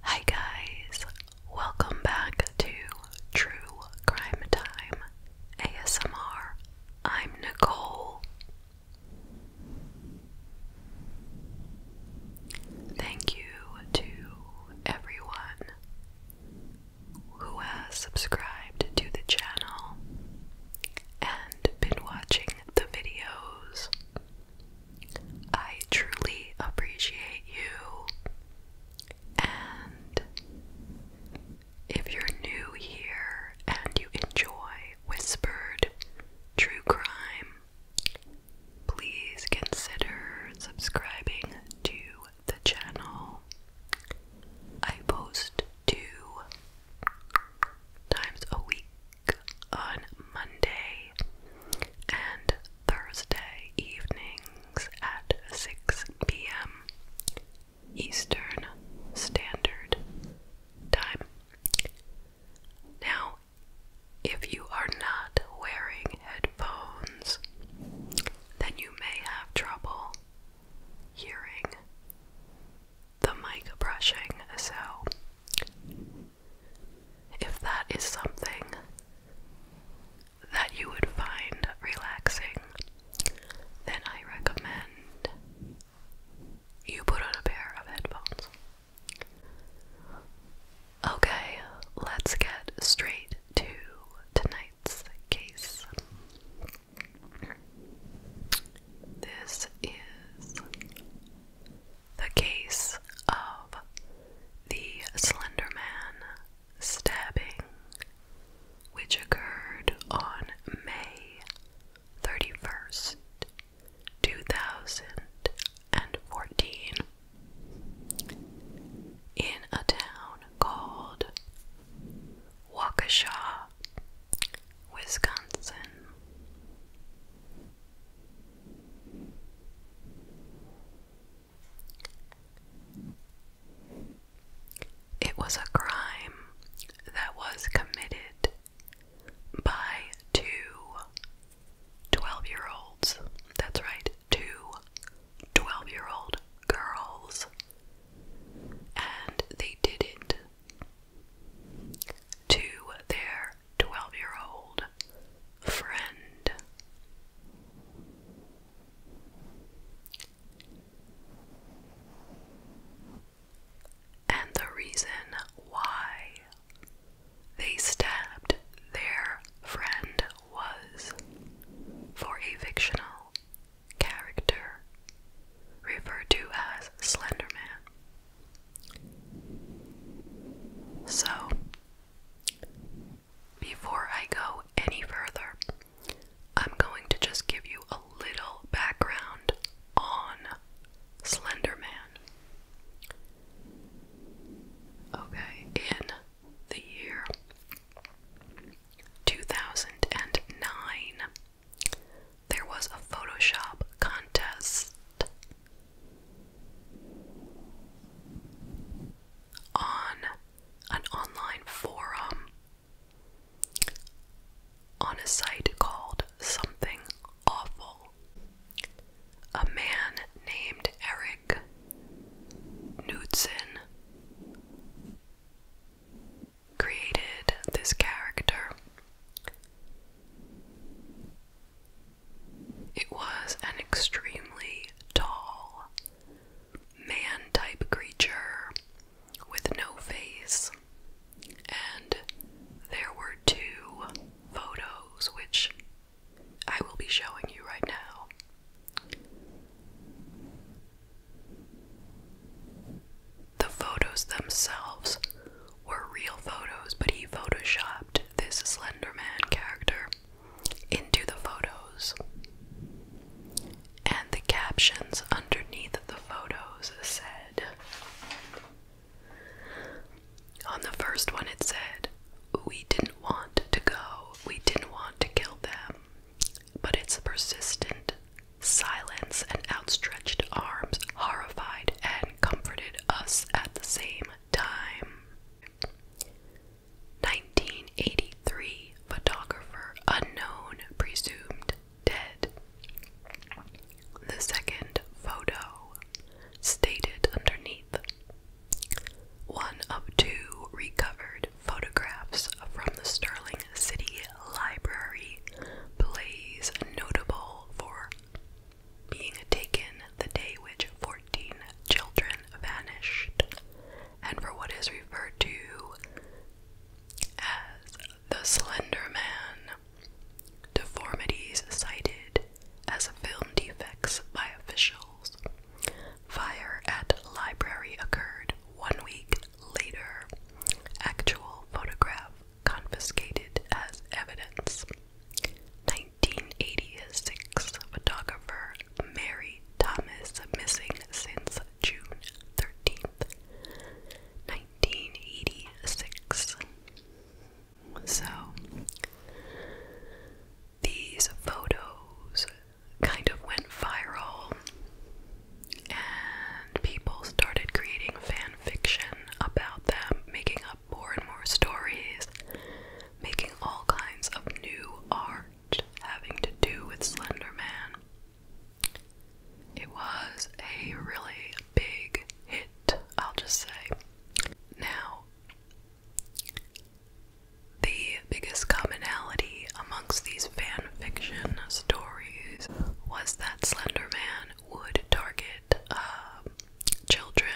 Hi guys, welcome back to True Crime Time ASMR. I'm Nicole. Thank you to everyone who has subscribed to the channel and been watching the videos. I truly appreciate you. And if you're new here and you enjoy whispered true crime, please consider subscribing to the channel. I post two times a week on Monday and Thursday evenings at 6 p.m. Eastern Standard Time. Now, if you are not wearing headphones, then you may have trouble hearing the mic brushing, so if that is something that you would find relaxing, then I recommend you put on a pair of headphones. Okay, let's get straight to tonight's case. This is the case of the Slender Man stabbing, which occurred on May 31st, 2014, in a town called Waukesha, Wisconsin. It was a crime that was committed by 212 year olds. That's right, 212 year old girls. And they did it to their 12 year old friend. And the reason why they stabbed their friend was for a fictional character referred to as Slenderman. So, before I go any further, I'm going to just give you a little background on Slender Man. Okay, in the year 2009, there was a Photoshop contest on an online forum on a site called Something Awful. A man named Eric Knudsen created this character it was an extremely tall, man type creature with no face, and there were two photos which I will be showing you right now. The photos themselves were real photos, but he photoshopped this Slenderman character into the photos. And the captions underneath the photos said On the first one, it said, We didn't want to go, we didn't want to kill them, but it's persistent. Silence and outstretched arms horrified and comforted us at the same time. 1983 photographer unknown presumed dead. The second photo stated underneath one of two recovered photographs from the Sterling City Library, Blaze notable for being taken the day which 14 children vanished, and for what is referred to as the Slender Man, deformities cited as film defects by officials. Fire at library occurred one week later. Actual photograph confiscated as evidence. 1986 photographer Mary Thomas, missing since June 13th, 1986. So, these photos kind of went viral, and people started creating fan fiction about them, making more and more stories, making all kinds of new art having to do with Slender Man. It was a really big hit, I'll just say. Now, the biggest commonality amongst these fan fiction stories was that Slender Man would target uh, children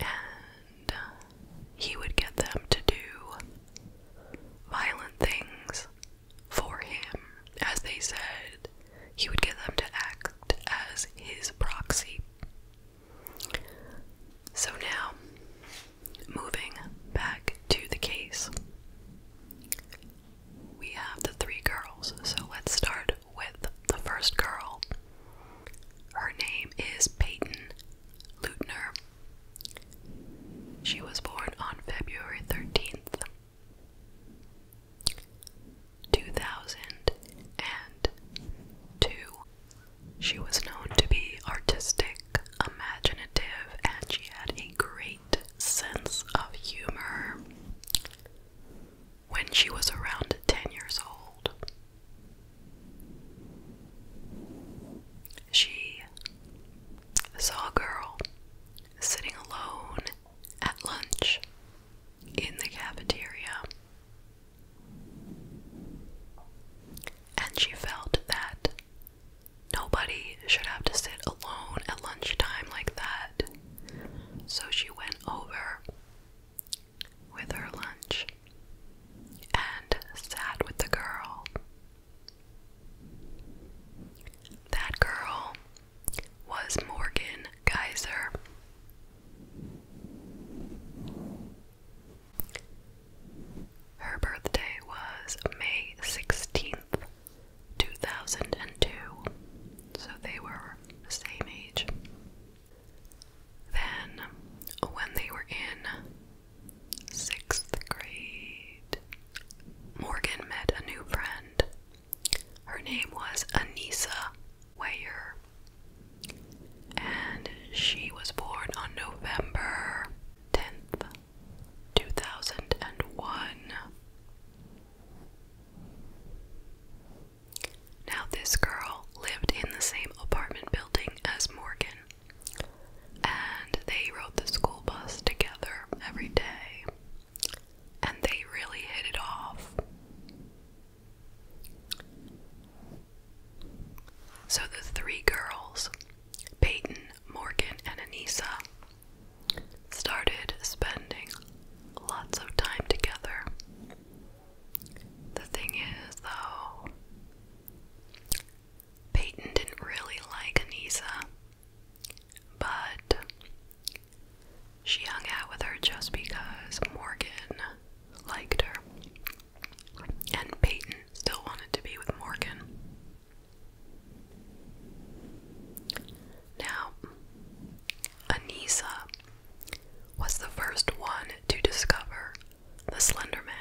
and uh, he would get them to do violent things for him. As they said, he would get them to act as his proxy. So now, moving back to the case, we have the three girls. So let's start with the first girl. Her name is Peyton Lutner. She was born on February 13th, 2002. She was known to be artistic, imaginative, and she had a great sense of humor when she was around 10 years old. She saw a girl sitting alone at lunch in the cafeteria, and she felt that nobody should have to sit alone at lunchtime like that. So she went over with her lunch and sat with the girl. That girl was Morgan Geyser. Her birthday was May 16th, 2002, so they were the same age. Then, when they were in sixth grade, Morgan met a new friend. Her name was Anissa Weyer, and she was born on November 10th, 2001. Now, this girl lived in the same apartment building as Morgan, and they rode the school bus together every day, and they really hit it off. So, the three girls, Peyton, Morgan, and Anissa, started spending lots of time together. The thing is, though, Peyton didn't really like Anissa, but she hung out with her just because Morgan liked her. And Peyton still wanted to be with Morgan. Now, Anissa was the first one to discover the Slender Man.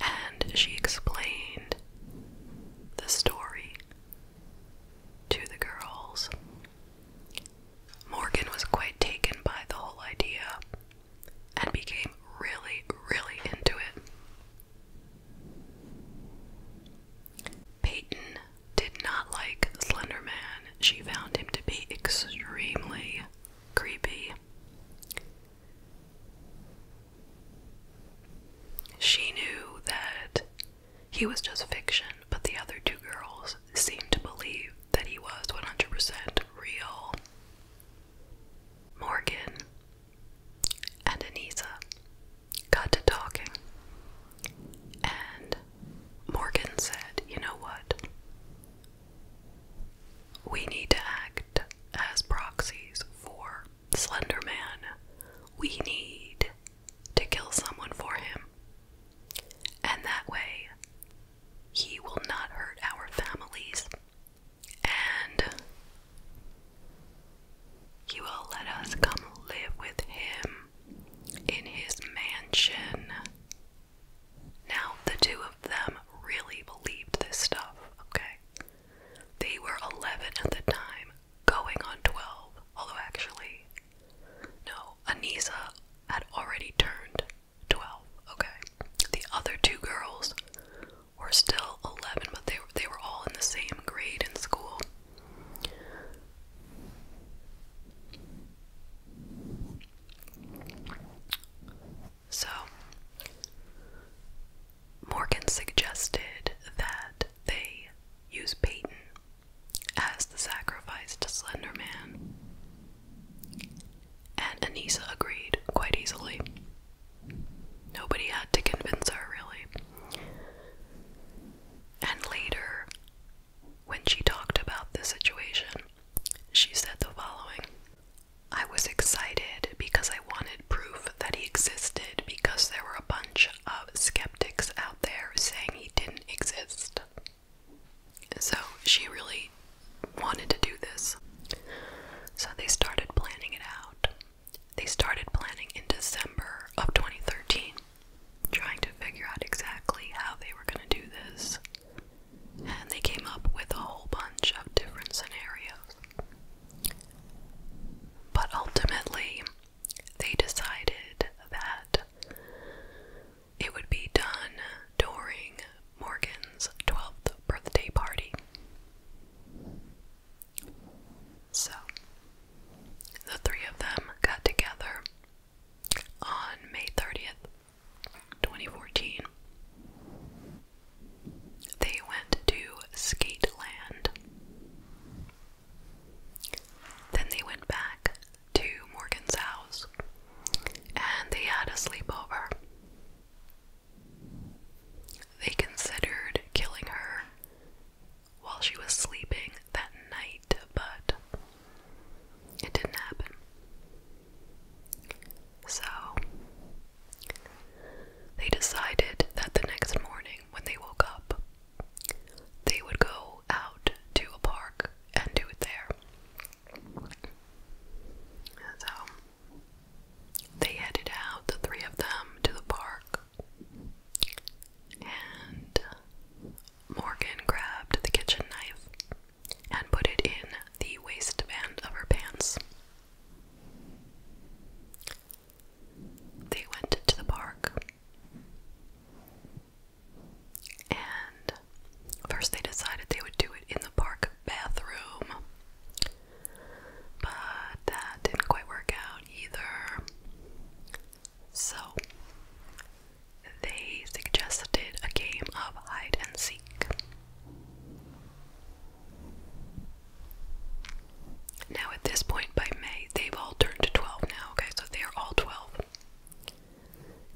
And she explained the story to the girls. Morgan was quite taken by the whole idea and became really, really into it. Peyton did not like Slender Man. She found him to be extremely creepy. She knew that he was just fiction, but the other two girls seemed to believe that he was 100% real. Morgan and Anisa got to talking. And Morgan said, You know what? We need to act as proxies for Slender Man. We need to kill someone for him. And that way, he will not hurt our families. And he will let us come live with him in his mansion. Now, the two of them really believed this stuff, okay? They were 11 at the time, going on 12, although actually, no, Anisa had already turned 12, okay? The other two girls were still 11, but they, they were all in the same grade in school. So, Morgan suggested that they use Payton as the sacrifice to Slender Man, and Anissa agreed quite easily. Nobody had to convince her, really. And later, when she talked about the situation, she said the following I was excited because I wanted proof that he existed because there were a bunch of skeptics out there saying he didn't exist. So she really wanted to do this. So they started planning it out. They started planning in December of 2013, trying to figure out exactly how they were going to do this. And they came up with a whole bunch of different scenarios. But ultimately, they decided that it would be done during Morgan's 12th birthday party. So, the three of them got together on May 30th, 2014. They went to Skate Land. Then they went back to Morgan's house and they had a sleepover. They considered killing her while she was sleeping that night, but it didn't happen. So they decided that the next morning when they woke up, they would go out to a park and do it there. So they headed out, the three of them, to the park and Morgan grabbed the kitchen knife and put it in the waistband of her pants. They went to the park. And first, they decided they would do it in the park bathroom. But that didn't quite work out either. So, they suggested a game of hide and seek. Now, at this point by May, they've all turned to 12 now, okay? So they are all 12.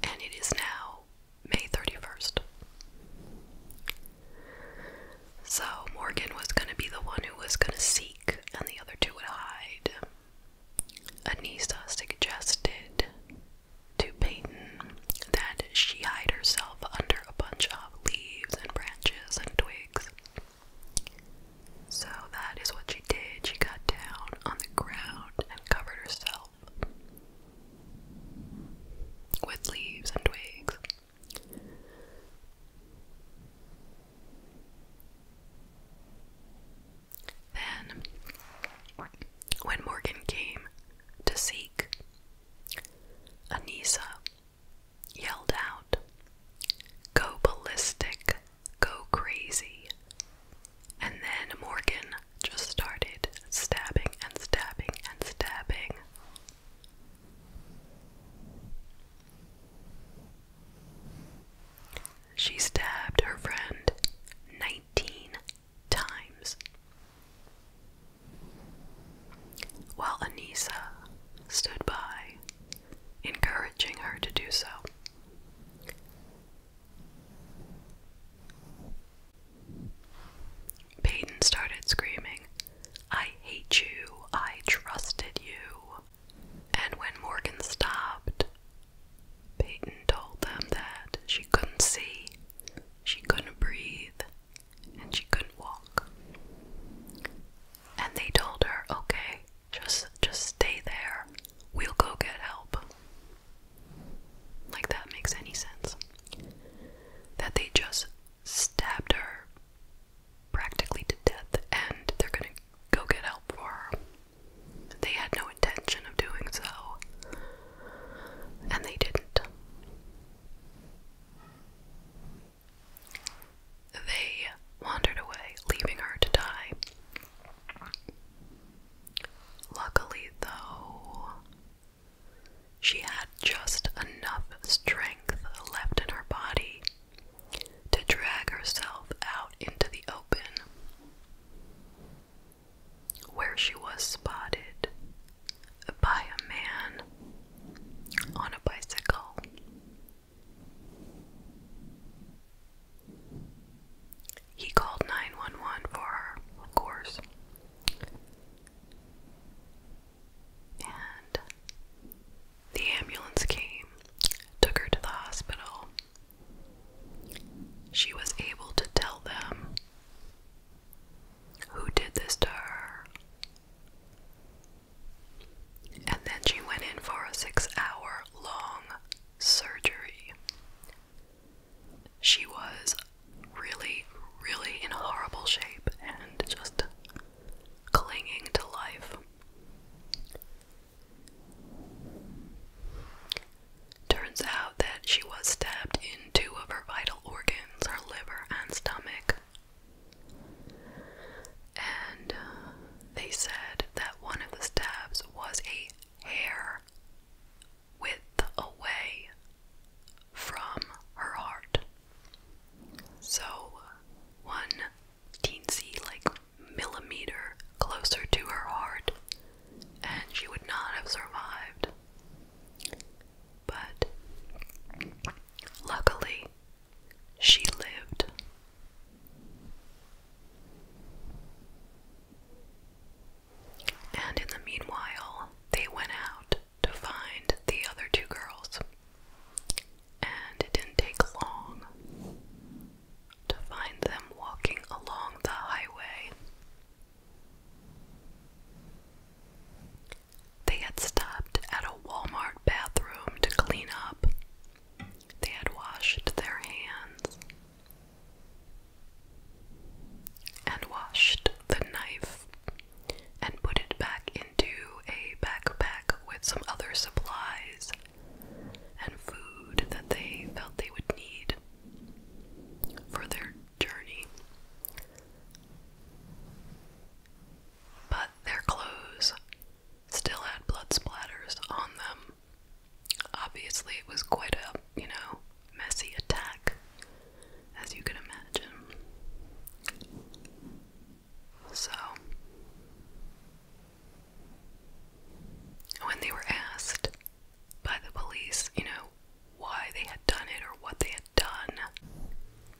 And it is now May 31st. So, Morgan was going to be the one who was going to seek and the other two would hide. Anissa suggested to Peyton that she hide herself under a bunch of leaves and branches and twigs. So that is what she did. She got down on the ground and covered herself with leaves and twigs. Then, when Morgan came to seek, Anisa yelled out, Go ballistic, go crazy. And then Morgan just started stabbing and stabbing and stabbing. She stabbed her friend 19 times. While Anissa stood by, encouraging her to do so. Peyton started screaming, I hate you, I trusted you. And when Morgan stopped, Peyton told them that she couldn't see, she couldn't breathe, and she couldn't walk. And they told her, okay, just just stay there. We'll go get help. Like that makes any sense. That they just stabbed her practically to death and they're gonna go get help for her. They had no intention of doing so, and they didn't. They wandered away, leaving her to die. Luckily, though, she had just enough strength left in her body to drag herself out into the open, where she was spotted by a man on a bicycle. He called 911 for her, of course. And the ambulance came, took her to the hospital. She was able to tell them who did this to her. And then she went in for a six hour long surgery. She was really, really in horrible shape and just clinging to life. Turns out that she was stabbed in two of her vital organs, her liver and stomach. And uh, they said that one of the stabs was a hair width away from her heart. So, one teensy, like, millimeter closer to her heart, and she would not have survived. But luckily, she lived. And in the meanwhile, they went out to find the other two girls and it didn't take long to find them walking along the highway. They had stopped at a Walmart bathroom to clean up. They had washed their hands and washed the knife and put it back into a backpack with some other supplies and food that they felt they would need for their journey. But their clothes still had blood splatters on them. Obviously, it was quite a, you know, messy attack, as you can imagine. So, when they were asked by the police, you know, why they had done it or what they had done,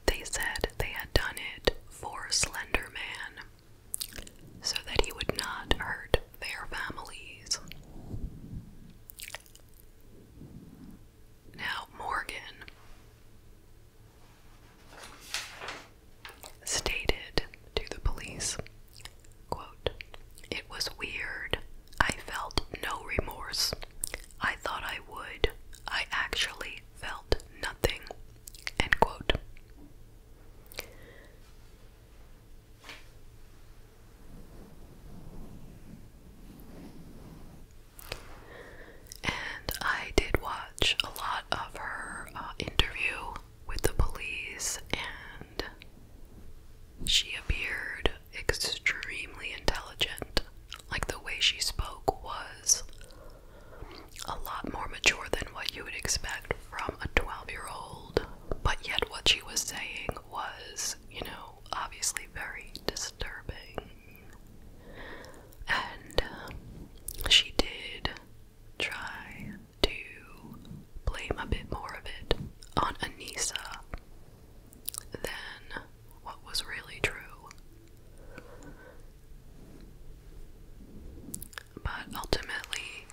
they said they had done it for Slender Man so that he would not hurt their families. Now, Morgan stated to the police quote, It was weird. I felt no remorse. I thought I would. I actually felt nothing. End quote and I did watch a lot of her uh, interview with the police, and she appeared extremely intelligent. Like the way she spoke was a lot more mature than what you would expect from a 12 year old, but yet what she was saying was, you know, obviously very disturbing. And um, she did try to blame a bit more of it on Anissa than what was really true. But ultimately,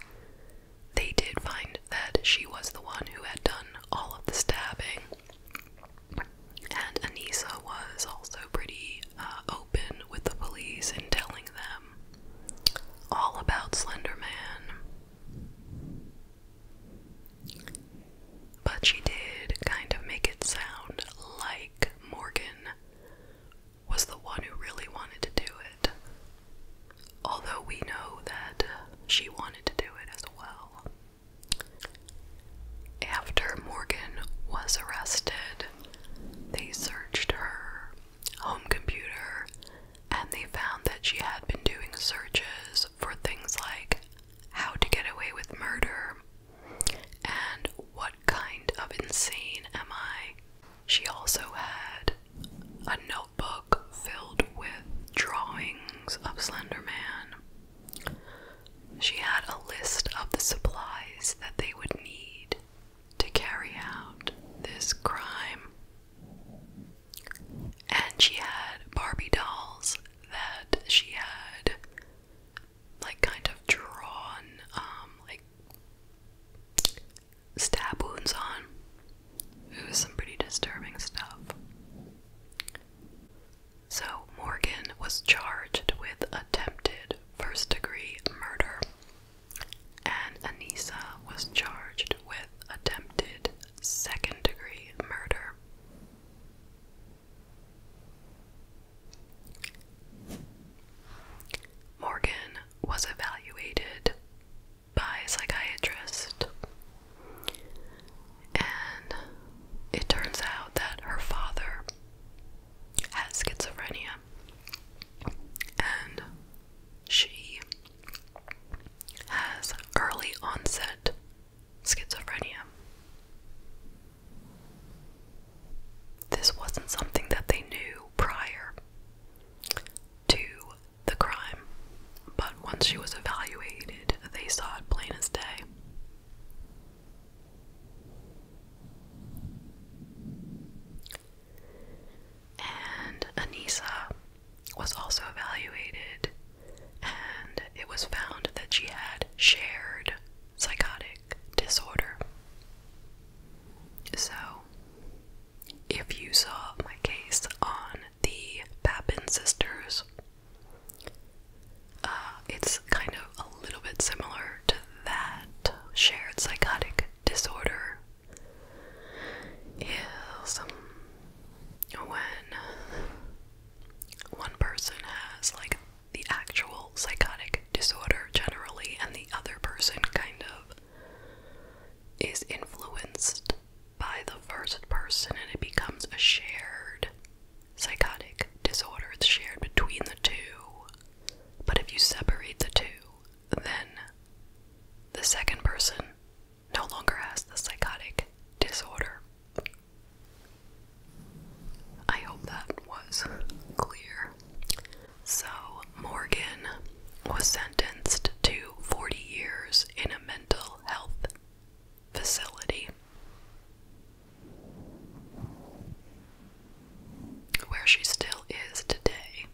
they did find that she was the one who had done all of the stabbing, and Anissa was also pretty uh, open with the police and telling them all about Slenderman. But she did kind of make it sound like Morgan was the one who really wanted to do it. Although we know that she wanted to do it as well. After Morgan was arrested, they searched her home computer and they found that she had been doing searches for things like how to get away with murder and what kind of insane am I. She also had a notebook filled with drawings of Slenderman. She had a list of the supplies that they would need to carry out this crime. And she had Barbie dolls that she had like kind of drawn um, like stab wounds on. It was some pretty disturbing stuff. So Morgan was charged with attempted first degree murder and Anissa was charged with attempted second degree murder. Morgan was evaluated by a psychiatrist, and it turns out that her father has schizophrenia, and she has early onset schizophrenia. This wasn't something that they knew prior to the crime, but once she was evaluated, they saw it plain as day. And Anissa was also evaluated, and it was found that she had shared psychotic disorder. So, if you saw my case on the Papin sisters, uh, it's kind of a little bit similar to that shared psychotic disorder is um, when one person has like the actual psychotic disorder generally, and the other person kind of is influenced by the first person, and it becomes a shared psychotic disorder. It's shared between the two. But if you separate the two, then the second person no longer has the psychotic disorder. I hope that was clear. So, Morgan was sentenced to 40 years in a mental health facility where she still is today.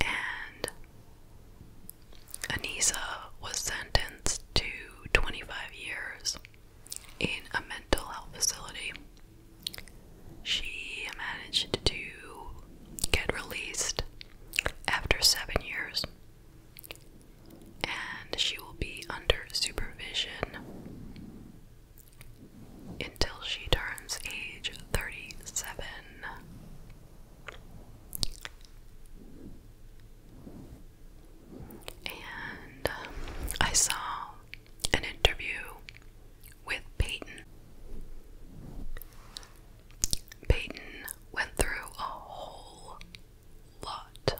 And Anissa was sentenced to 25 years in a mental health facility. She managed to get released after seven years and she will be under supervision until she turns age 37. And um, I saw an interview with Peyton. Peyton went through a whole lot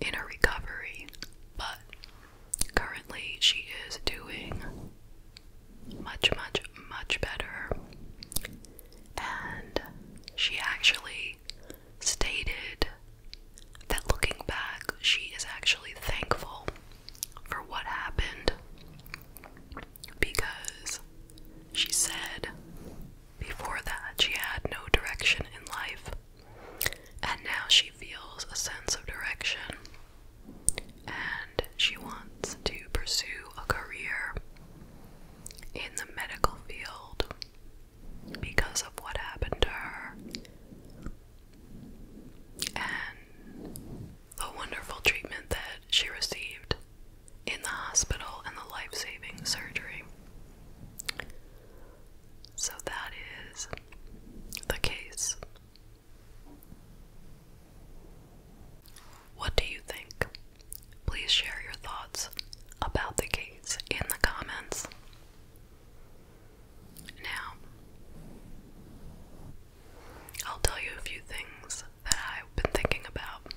in her recovery, but currently she is doing much, much, much better. And she actually stated that looking back, she is actually thankful for what happened because she said before that she had no direction in life. And now she feels a sense of direction and she wants to pursue a career in the medical field because of what happened to her and the wonderful treatment that she received in the hospital and the life saving surgery. So that is the case. What do you think? Please share your thoughts about the case in the comments. Now, I'll tell you a few things that I've been thinking about.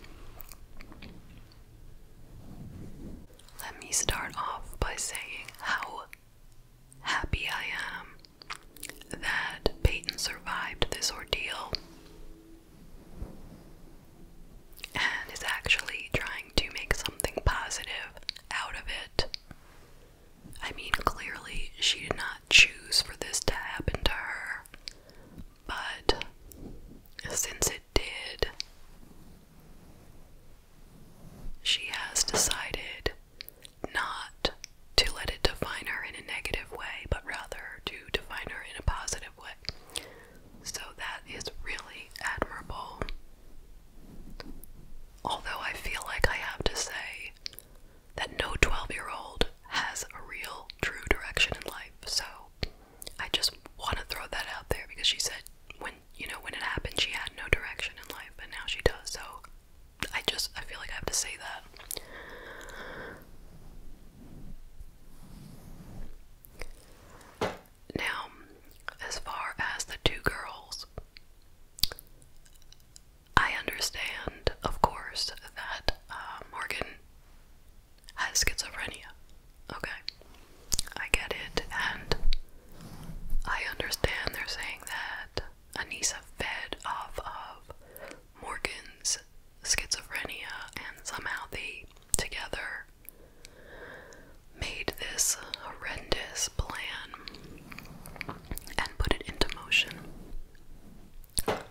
Let me start off by saying how happy I am that Peyton survived this ordeal and is actually trying to make something positive out of it. I mean, clearly, she did not choose for this to happen to her, but since it did. She has decided not to let it define her in a negative way, but rather to define her in a positive way. So that is really admirable. Although I feel like I have to say that no 12 year old has a real true direction in life. So I just want to throw that out there because she said when you know, when it happened, she had no direction in life, but now she does. So I just, I feel like I have to say that. Now, as far as the two girls, I understand, of course, that uh, Morgan has schizophrenia. Okay. I get it, and I understand they're saying that Anissa fed off of Morgan's schizophrenia, and somehow they together made this horrendous plan and put it into motion. But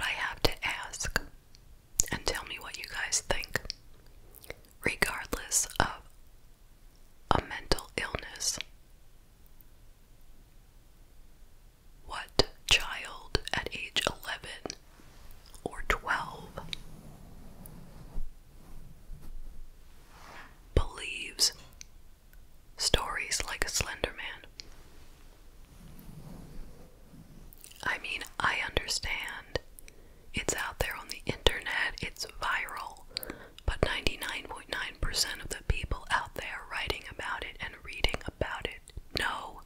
I have to ask and tell me what you guys think regardless of a mental illness. What child at age 11 or 12 believes stories like a Slender Man? I mean, I understand. It's out there on the internet, it's viral. But 99.9% percent of the people out there writing about it and reading about it know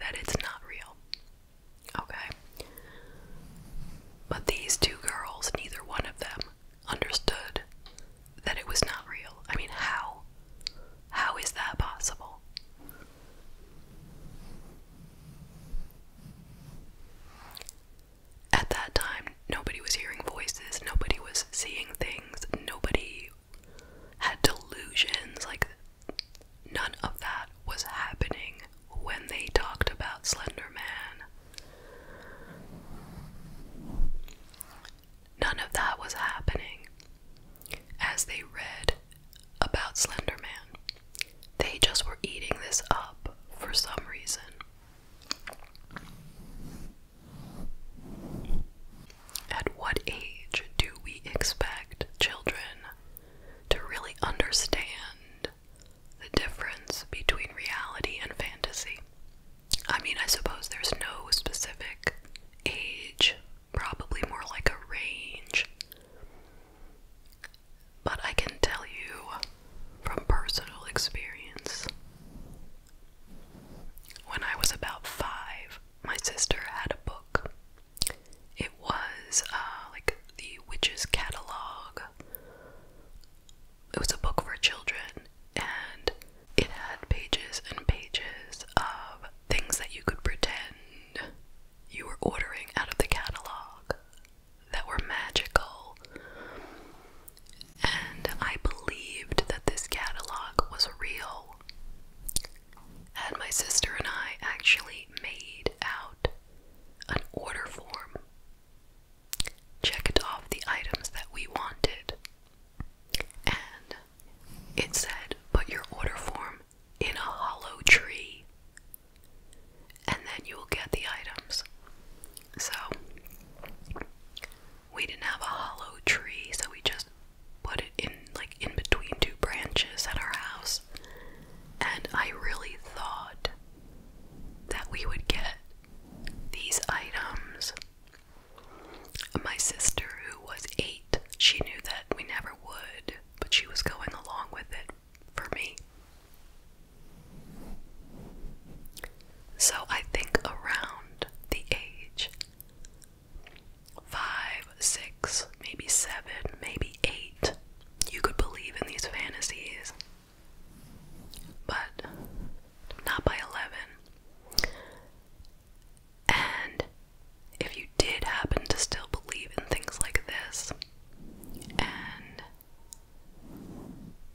that it's not real. Okay? But these two girls, neither one of them understood that it was not real. I mean, how? How is that possible? At that time, nobody was hearing voices, nobody was seeing things, nobody had delusions. Like, none of that was happening when they talked about Slender Man. None of that was happening as they read about Slender Man. They just were eating this up for some reason. At what age do we expect children to really understand the difference between reality and fantasy? I mean, I suppose there's no specific age, probably more like a range but I can tell you from personal experience when I was about five, my sister had a book. It was uh, like the Witches Catalog. It was a book for children, and it had pages and pages of things that you could pretend you were ordering out of the catalog that were magical. And I believed that this catalog was real. And my sister and I actually made out an order form, checked off the items that we wanted, and it said, Put your order form in a hollow tree, and then you will get the items. So, we didn't have a hollow tree, so we just put it in like in between two branches at our house, and I really thought that we would get these items. My sister, who was eight, she knew that we never would, but she was going along with it for me. So I think around the age five, six, maybe seven, maybe eight, you could believe in these fantasies. But not by 11. And if you did happen to still believe in things like this and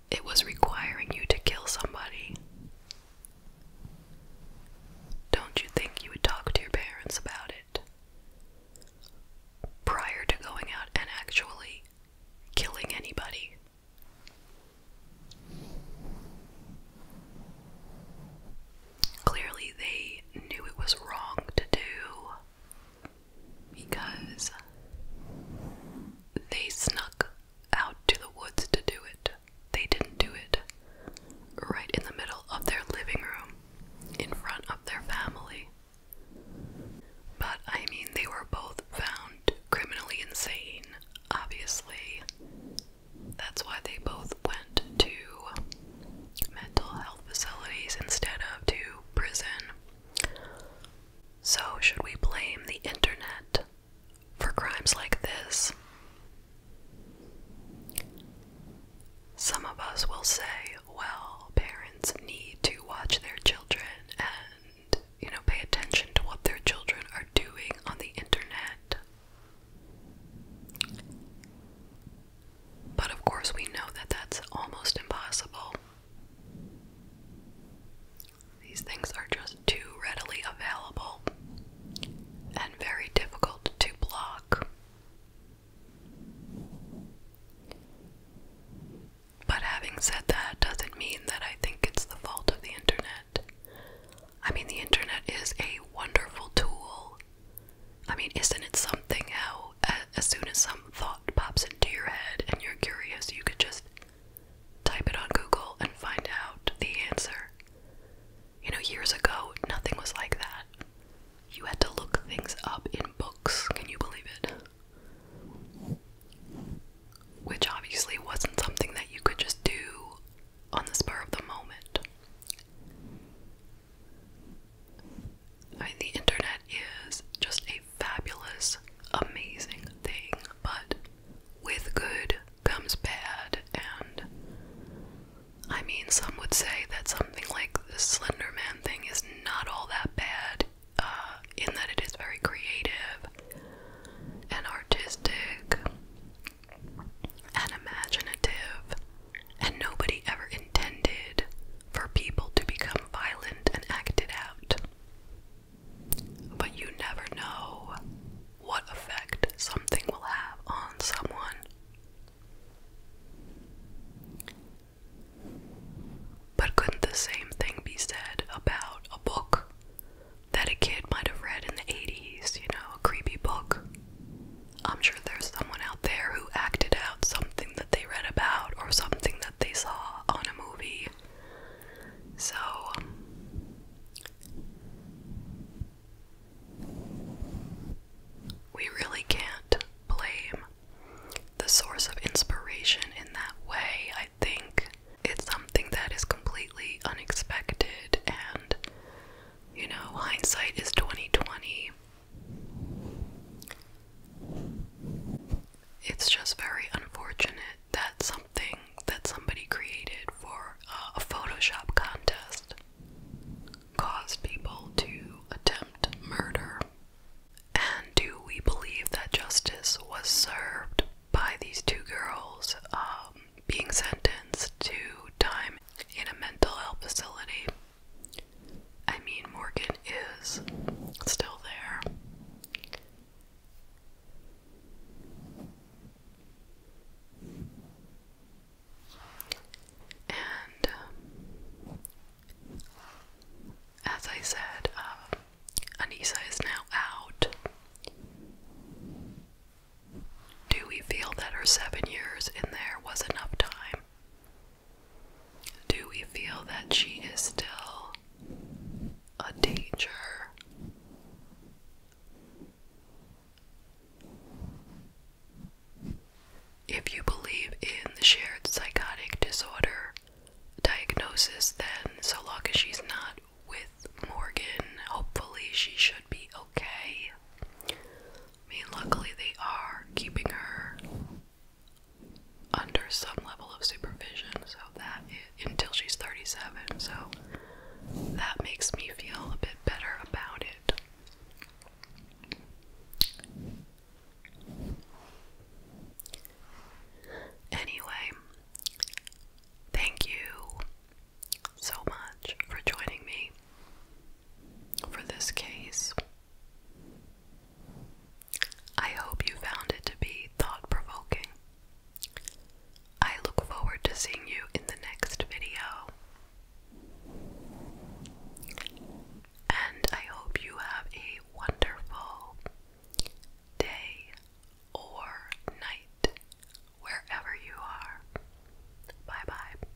it was requiring you to kill somebody, don't you think you would talk to your parents about it prior to going out and actually killing anybody? Clearly, they knew it was wrong to do, because they snuck out to the woods to do it. They didn't do it right in the middle of their living room, in front of their family. But I mean, they were both found criminally insane, obviously. That's why they both went to mental health facilities instead of to prison. So, should we blame the internet for crimes like this? Some of us will say, well, parents need to watch their children and, you know, pay attention to what their children are doing on the internet. But of course, we know that that's almost impossible. These things are just too readily available and very difficult to block. But having said that, doesn't mean that I think it's the fault of the internet. I mean, the internet is a wonderful tool I mean, isn't it something how as soon as some thought pops into your head and you're curious, you could just type it on Google and find out the answer? You know, years ago, nothing was like that. You had to look things up in books. Can you believe it? Which obviously wasn't something that you could just do on the spur of the moment. I mean, the internet is just a fabulous, amazing thing, but with good comes bad, and I mean, some would say that something like the Slender Man thing is not all that bad, uh, in that it is very creative and artistic and imaginative and nobody ever intended for people to become violent and acted out. But you never know what effect something will have on someone. But couldn't the same thing be said about a book that a kid might have read in the 80s? You know, a creepy book I'm sure there's someone out there who acted out something that they read about or something that they saw on a movie. So, we really can't blame the source of inspiration in that way. I think it's something that is completely unexpected and you know, hindsight is 2020. It's just very unfortunate that something that somebody created for a Photoshop contest caused people to attempt murder. And do we believe that justice was served by these two girls um, being sentenced to time in a mental health facility? I mean, Morgan is still there. And um, as I said, um, Anissa is now out. Do we feel that her seven years in there was enough time? Do we feel that she is still a danger? If you believe in the shared psychotic disorder diagnosis, then so long as she's not with Morgan, hopefully she should be okay. I mean, luckily they are keeping her under some level of supervision, so that until she's 37, so that makes me feel a bit better about it. Anyway, thank you so much for joining me for this case. I hope you found it to be thought provoking. I look forward to seeing you in the next video. And I hope you have a wonderful day or night wherever you are. Bye bye.